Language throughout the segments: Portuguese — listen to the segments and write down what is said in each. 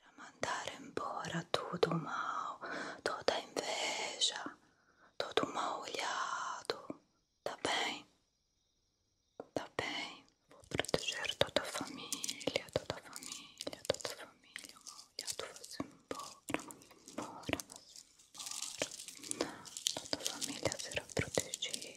Para mandar embora tudo o mal, toda inveja, todo o mal olhado, tá bem? Tá bem? Vou proteger toda a família, toda a família, toda a família. O mal olhado vai-se embora, embora, vai-se embora. Toda a família será protegida.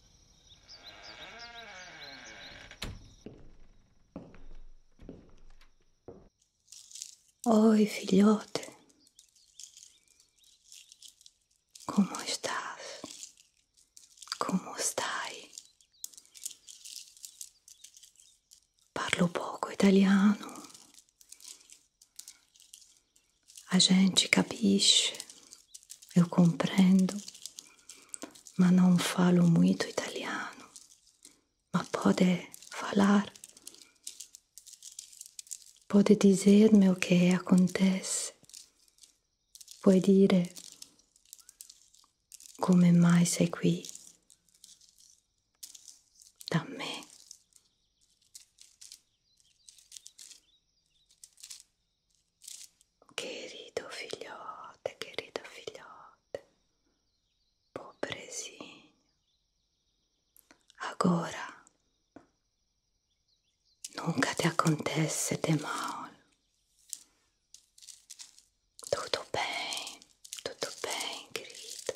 Oi, filhote. Como estás? Como estás? Parlo pouco italiano. A gente capisce. Eu compreendo. mas não falo muito italiano. Mas pode falar. Pode dizer-me o que acontece. Puoi dire come mai sei qui da me. Querido filhote, querido filhote, pobrezinho, agora nunca te acontece de mal. Tudo bem, tudo bem, querido.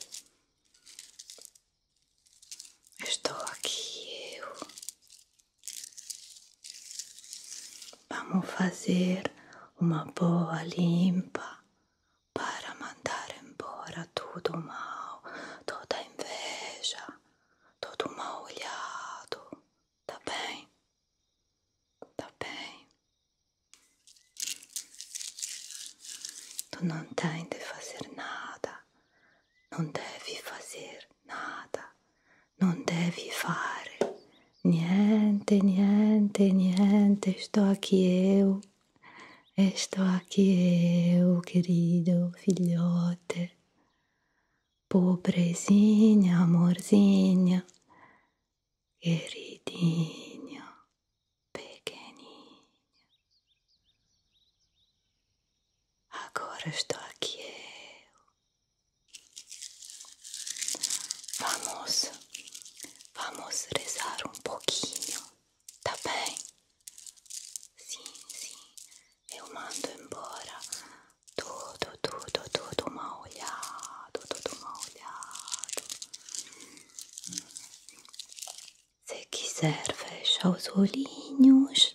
Estou aqui eu Vamos fazer uma boa limpa para mandar embora tudo mal, toda inveja, todo mal olhado. Tá bem? Tá bem? Tu não tens de fazer nada, não deve fazer nada, não devi fazer, niente, niente, niente, estou aqui eu, estou aqui eu, querido filhote, pobrezinha, amorzinha, queridinho, pequenininho, agora estou aqui eu. Vamos, vamos rezar um pouquinho, tá bem? Sim, sim, eu mando embora tudo, tudo, tudo mal olhado, tudo mal olhado. Se quiser, fecha os olhinhos,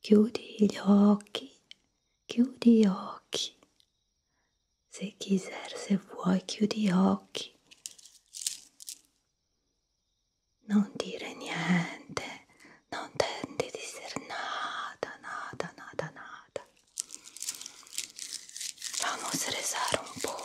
que os olhos, que os olhos. Se Kiser, se vuoi, chiudi gli occhi. Non dire niente, non tente di ser nada, nada, nada, nada. Vamos a rezar un poco.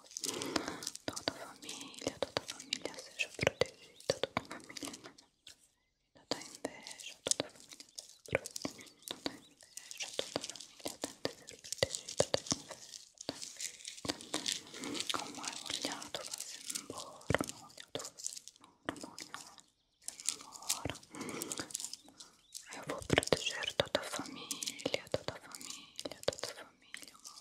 Toda família, toda família seja protegida, toda família toda inveja, toda família seja protegida, toda inveja, toda família tenta ser protegida, toda inveja, como é olhado, vai-se embora, não olhado, vai-se embora, não olhado, vai-se embora. Eu vou proteger toda a família, toda a família, toda a família, uma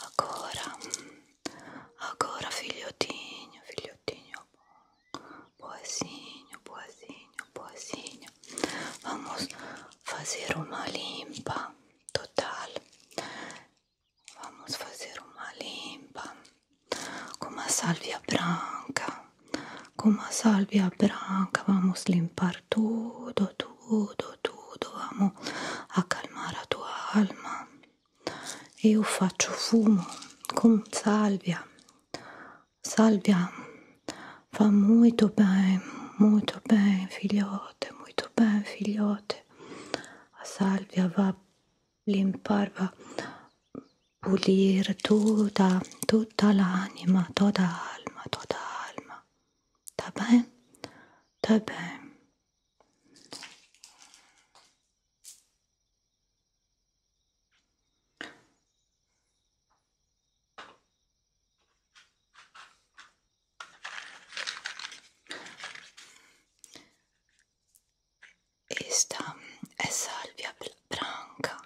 Agora, agora, filhotinho, filhotinho, boazinho, boazinho, boazinho. Vamos fazer uma limpa. total. Vamos fazer uma limpa com uma salvia branca. Com uma salvia branca vamos limpar tudo, tudo, tudo. Vamos acalmare la tua alma. Io faccio fumo con salvia. Salvia fa molto bene, molto bene figliolo filhote, muito bem, filhote. A Sálvia vai limpar, vai pulire tutta, tutta l'anima, toda a alma, toda a alma. Tá bem? Tá bem. Esta é salvia branca.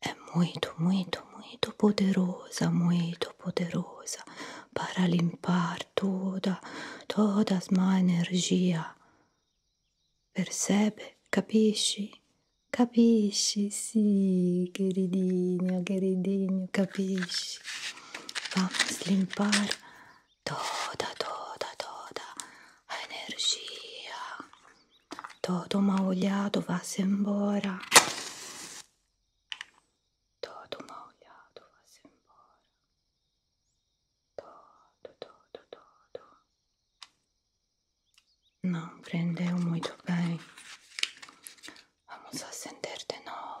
É muito, muito, muito poderosa, muito poderosa para limpar toda, toda a má energia. Percebe? Capisci? Capisci? Sì, queridinho, queridinho, capisci? Vamos limpar toda, toda, toda a energia. Todo mal olhado vá-se embora. Todo mal olhado vá-se embora. Todo, todo, todo. Não prendeu muito bem. Vamos acender de novo.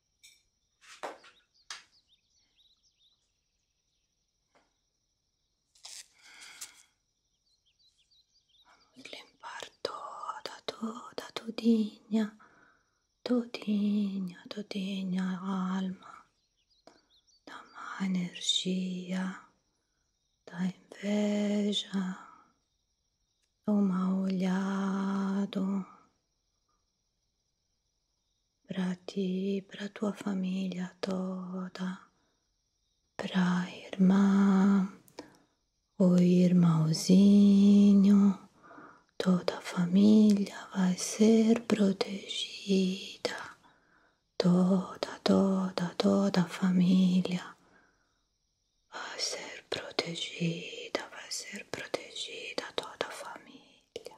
L'imparto da, to, da Todigna, Todigna, Todigna, alma, dammi energia, da inveja, o olhado para ti, para tua família toda, para a irmã, ou irmãozinho, toda a família vai ser protegida, toda, toda, toda a família vai ser protegida, vai ser protegida toda a família.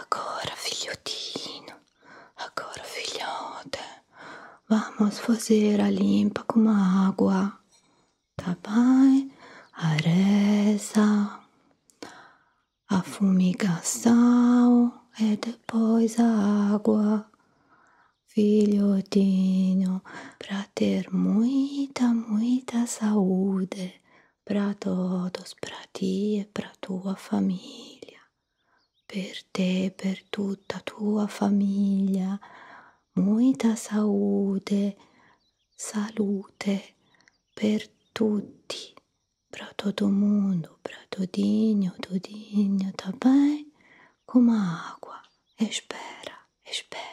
Agora, filhotinho, agora, filhote vamos fazer a limpa com água, tá bem? A a fumigação e é depois a água. figliottino, prater muita, muita saúde pra todos, pra ti e pra tua famiglia. Per te, per tutta tua famiglia, muita saúde, salute per tutti, pra todo mundo, pra todinho, todinho, tá bem? como a água. Espera, espera.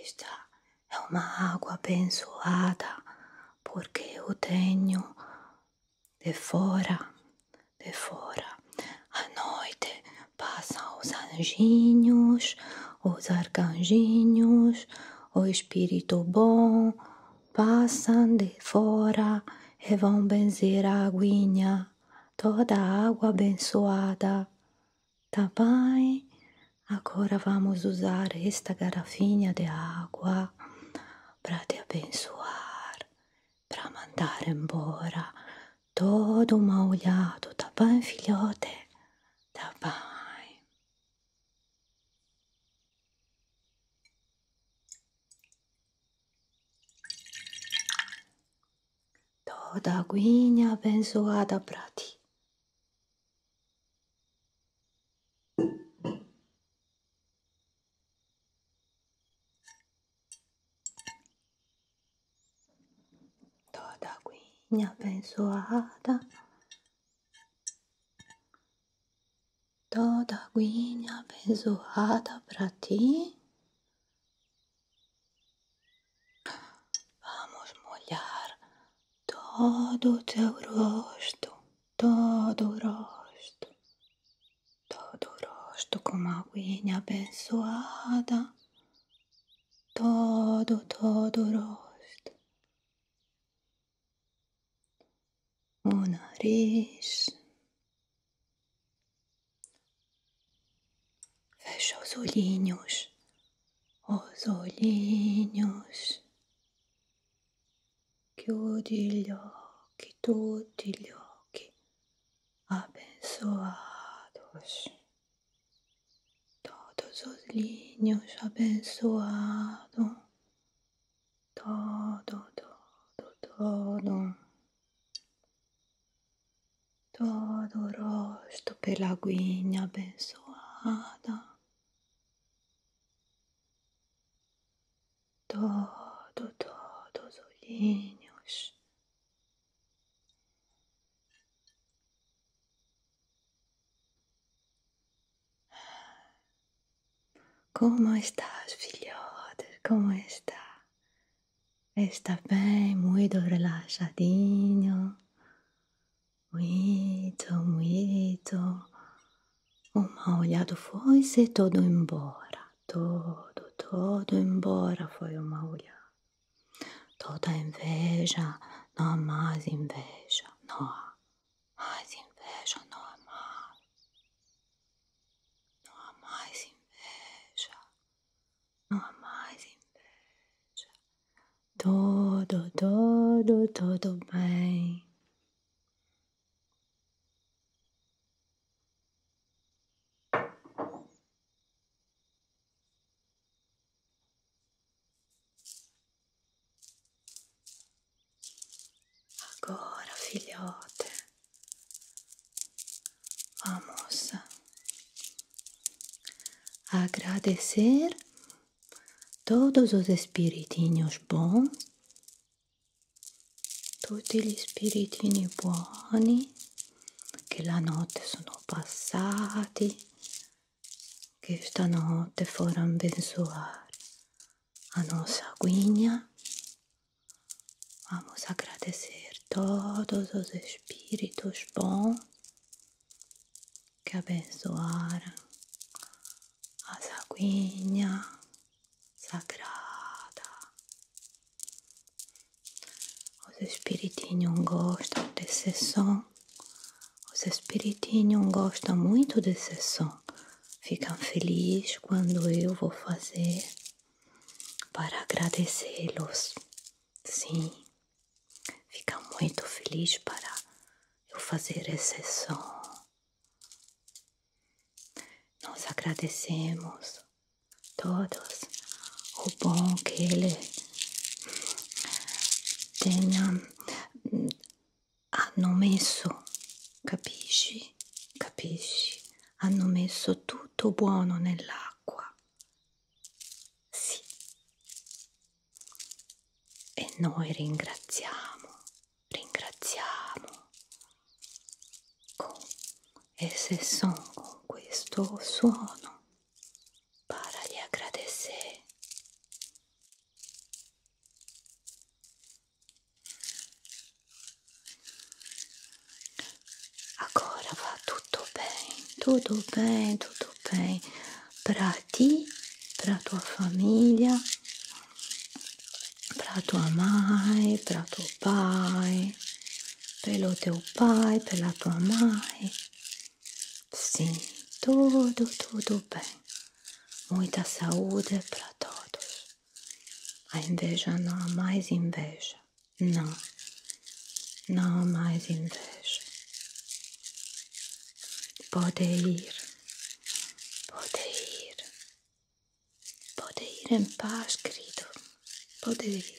Esta é uma água abençoada, porque eu tenho de fora, de fora, à noite Passam os anjinhos, os arcanjinhos, o espírito bom, passam de fora e vão benzer a aguinha, toda a água abençoada. Tá bem? Agora vamos usar esta garrafinha de água para te abençoar, para mandar embora todo molhado, da tá bem, filhote? Tá bem. Toda guinha abençoada prati. Toda guinha abençoada, toda guinha abençoada pra ti. Vamos molhar todo o teu rosto, todo o rosto, todo rosto com uma guinha abençoada. todo, todo rosto, o nariz. Fecha os olhinhos, os olhinhos. Chiudi gli occhi, tutti gli occhi abençoados todos os linhos abençoado, todo, todo, todo, todo o rosto pela aguinha abençoada, todo, todos os linhos ¿Cómo estás, filhote? ¿Cómo está? Está bem, muito relaxadinho. Muito, muito. Uma olhada foi se todo embora. Todo, todo embora foi uma olhada. Toda inveja não há mais inveja, não há mais inveja, não há mais. inveja, não há mais inveja. Todo, todo, tudo bem. Agora, filhote, vamos agradecer todos os espiritinhos bons, tutti gli spiritini buoni che la notte sono passati que esta noite foram abençoar a nossa guinha Vamos agradecer todos os espíritos bons que abençoaram as aguinha sagrada. Os espiritinhos gostam desse som. Os espiritinhos gostam muito desse som. Ficam felizes quando eu vou fazer para agradecê-los. Sim, ficam muito felizes para eu fazer esse som. Nós agradecemos todos o bom que ele Ten, mm, hanno messo, capisci? Capisci? Hanno messo tutto buono nell'acqua. Sì. E noi ringraziamo, ringraziamo. Con, e se sono con questo suono para lhe agradecer. Agora vá tudo bem, tudo bem, tudo bem para ti, para tua família, para tua mãe, para tuo pai, pelo teu pai, pela tua mãe. Sim, tudo, tudo bem. Muita saúde para todos. A inveja não há mais inveja. Não, não há mais inveja. Pode ir, pode ir, pode ir em paz, querido. Pode ir.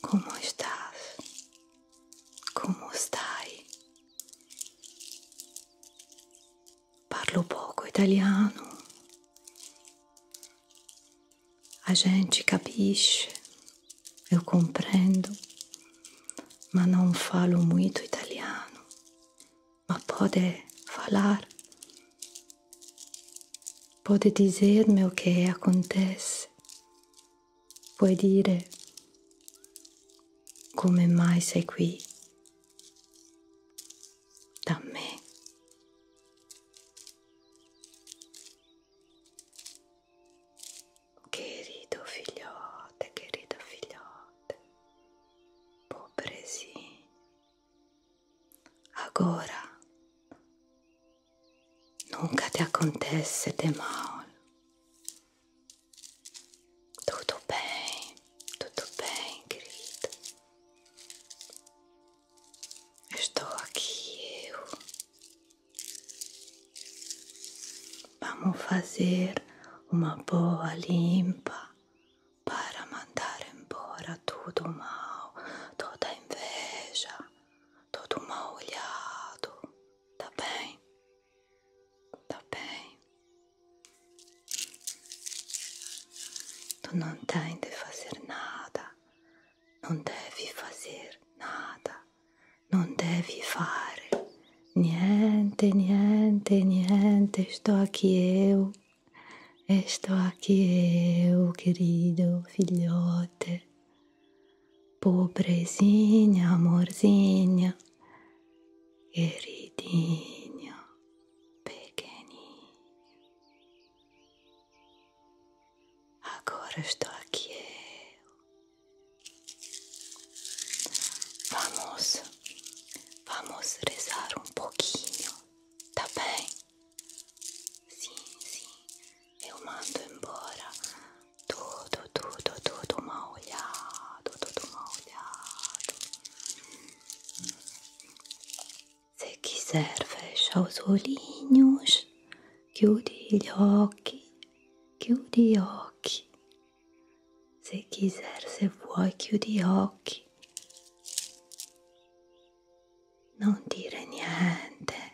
Como estás? Como estás? Parlo pouco italiano. A gente capisce, eu compreendo, mas não falo muito italiano. Mas pode falar, pode dizer-me o que acontece, puoi dire come mai sei qui da me. Querido figliote, querido figliote, pobrezinho, agora Nunca te acontece de mal. Tudo bem, tudo bem, querido. Estou aqui eu. Vamos fazer uma boa limpa para mandar embora tudo mal, toda inveja, todo o mal olhado, tá bem, tá bem. Tu não tens de fazer nada, não deve fazer nada, não deve fare niente, niente, niente. Estou aqui eu, estou aqui eu, querido filhote. Pobrezinha, amorzinha, queridinha, pequenininha. Agora estou aqui eu. Vamos, vamos rezar um pouquinho, tá bem? Sim, sim, eu mando embora tudo, tudo, tudo mal olhado, tudo mal olhado. Se quiser, fecha os olhinhos, que o dilhoque, que o dioque. Se quiser, se voe, que o dioque. Non dire niente.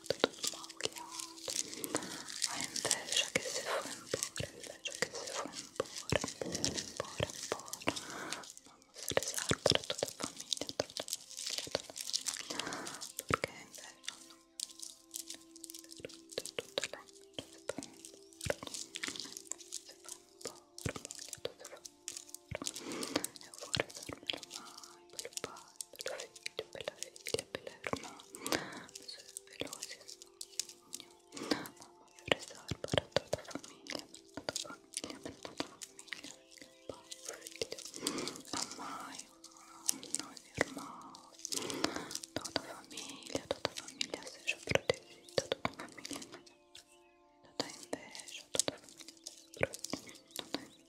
occhiato, tutto macchiato ma invece che si fa imporre, invece che si fa imporre, imporre, imporre, imporre non si riserva a tutta la famiglia, a tutta la famiglia perché invece non tutte, tutte le e fuori sarà mai per il padre, per la figlia, per la figlia apelaron a sus veloces Vamos a rezar para toda familia, para toda familia, para toda familia, para Amai, meus irmãos, toda família, toda família seja protegida, toda família, toda inveja, toda família seja protegida, toda inveja.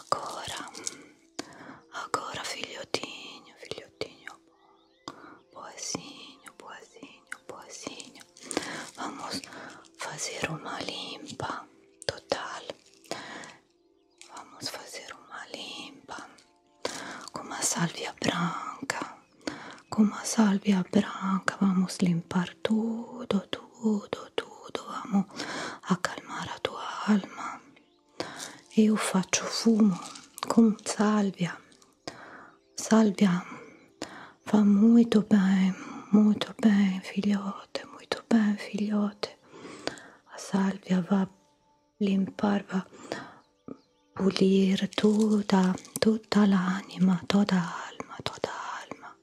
Agora, agora, filhotinho, filhotinho, boazinho, boazinho, boazinho. Vamos fazer uma limpa total. Vamos fazer uma limpa com uma sálvia branca. Com uma sálvia branca, vamos limpar impar tudo, tudo, tudo. Vamos a calmar a tua alma. Io faccio fumo con salvia. Salvia fa molto bene, molto bene, figliote, molto bene, figliote. A salvia va limpar, va pulire tutta, tutta l'anima, tutta l'alma, tutta l'alma.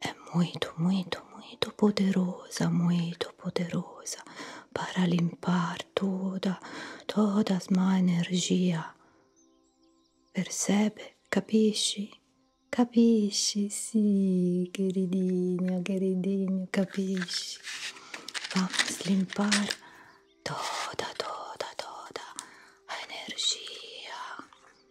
é muito, muito, muito poderosa, muito poderosa para limpar toda, toda a má energia. Percebe? Capisci? Capisci? Sì, queridinho, queridinho, capisci? Vamos limpar toda, toda, toda a energia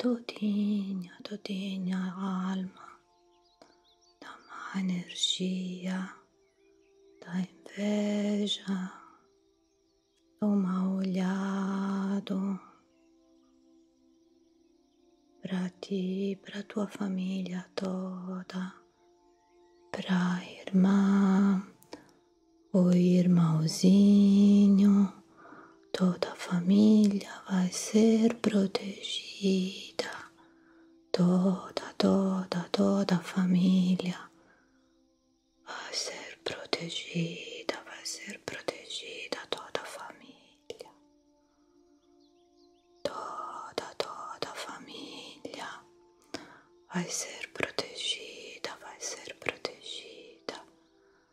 todinha, todinha alma da má energia, da inveja, do mal olhado, para ti, para tua família toda, para a irmã, o irmãozinho, toda a família vai ser protegida. Toda, toda, toda a família vai ser protegida, vai ser protegida toda a família. Toda, toda a família vai ser protegida, vai ser protegida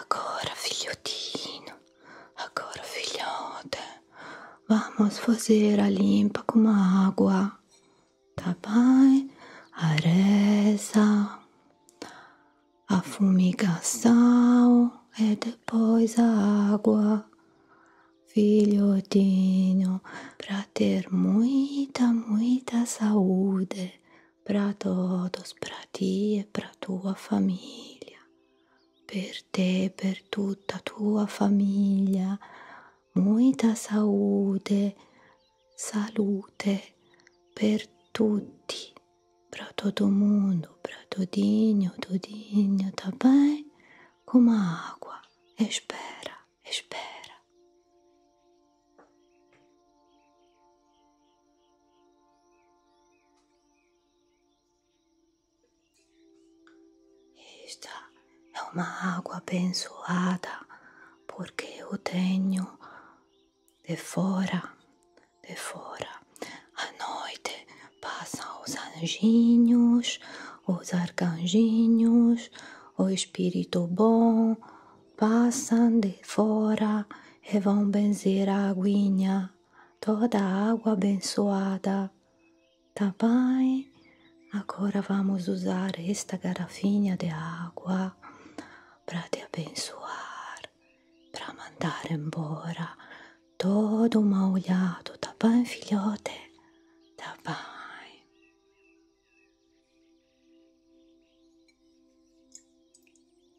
Agora, filhotinho, agora, filhote vamos fazer a limpa com água, tá bem? A reza, a fumigação e é depois a água. Filhotinho, pra ter muita, muita saúde pra todos, pra ti e pra tua família. per te e per tutta tua famiglia muita saúde, salute per tutti, para todo mundo, para todinho, todinho, tá bem? Como a água, espera, espera. Esta é uma água abençoada, porque eu tenho de fora, de fora. À noite passam os anjinhos, os arcanjinhos, o espírito bom, passam de fora e vão benzer a aguinha toda a água abençoada. Tá bem? Agora vamos usar esta garrafinha de água para te abençoar, para mandar embora todo o mal olhado, tá bem, filhote? Tá bem.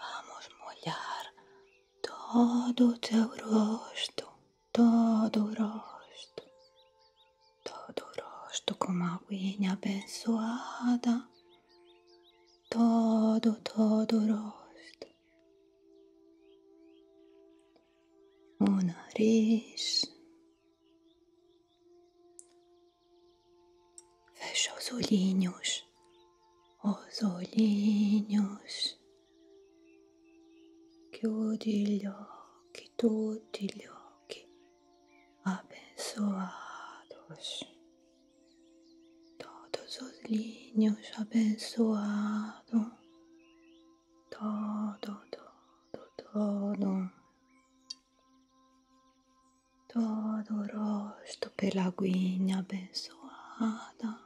Vamos molhar todo o teu rosto, todo o rosto, todo o rosto com uma aguinha abençoada, todo, todo o rosto, o nariz, Fecha os olhinhos, os olhinhos. Kyodilyoki, Tudilyoki, abençoados. Todos os linhos abençoados. Todo, todo, todo todo rosto pela aguinha abençoada,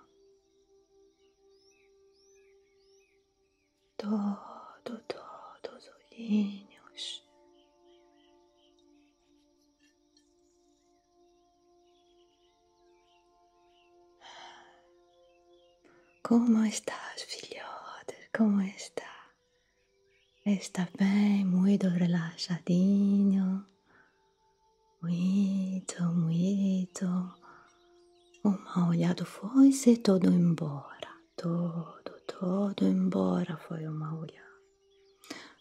todo, todos os olhinhos. Como estás, filhotes Como está? Está bem, muito relaxadinho. Muito, muito. Uma olhada foi-se todo embora. Todo, todo embora foi uma olhada.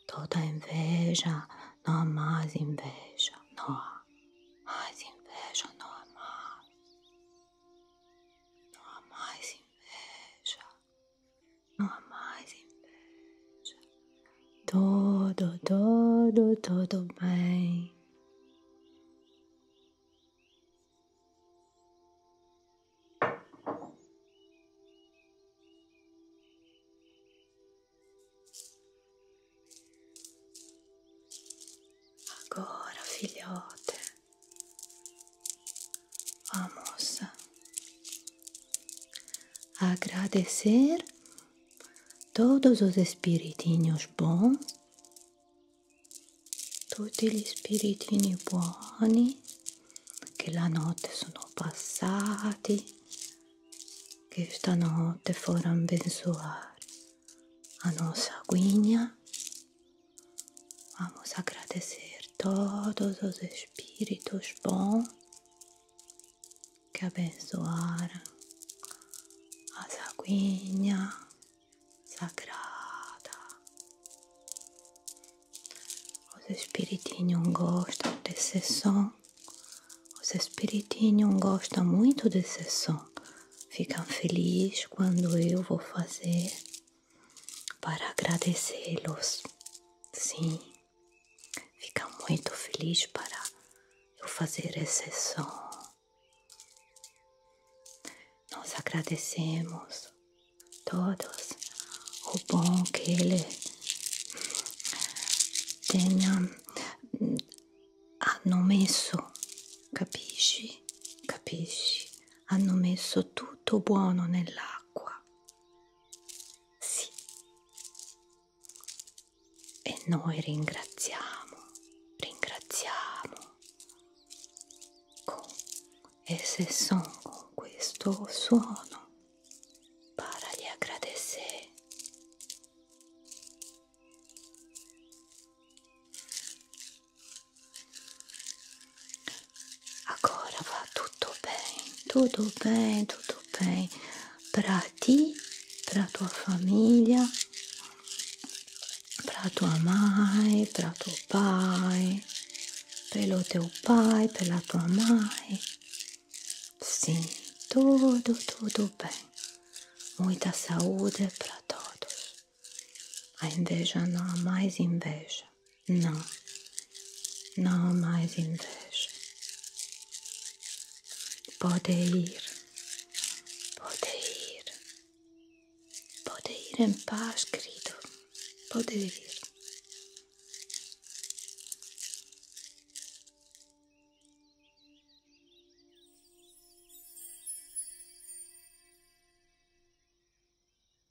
Toda inveja, não há mais inveja. Não há mais inveja, não há Não há mais inveja. No más invece. Todo, todo, todo bem. Agora, filhote. vamos Agradecer todos os espiritinhos bons. todos os espiritinhos bons que a noite notte passados, que esta noite foram abençoar a nossa guinha Vamos agradecer todos os espíritos bons que abençoaram a aguinha sagrada. Os espiritinhos gostam desse som. Os espiritinhos gostam muito desse som. Ficam felizes quando eu vou fazer para agradecê-los. Sim, fica muito feliz para eu fazer esse som. Nós agradecemos todos o bom que ele tenha hanno hum, messo, capisci? Capisci? Hanno tudo tutto buono nell'acqua. Sì. E noi ringraziamo, ringraziamo con e se son con questo suono para gli agradecer. Agora vá tudo bem, tudo bem, tudo bem para ti, para tua família, para tua mãe, para teu pai, pelo teu pai, pela tua mãe. Sim, tudo, tudo bem. Muita saúde para todos. A inveja não há mais inveja. Não, não mais inveja. Pode ir, pode ir, pode ir em paz, querido. Pode ir.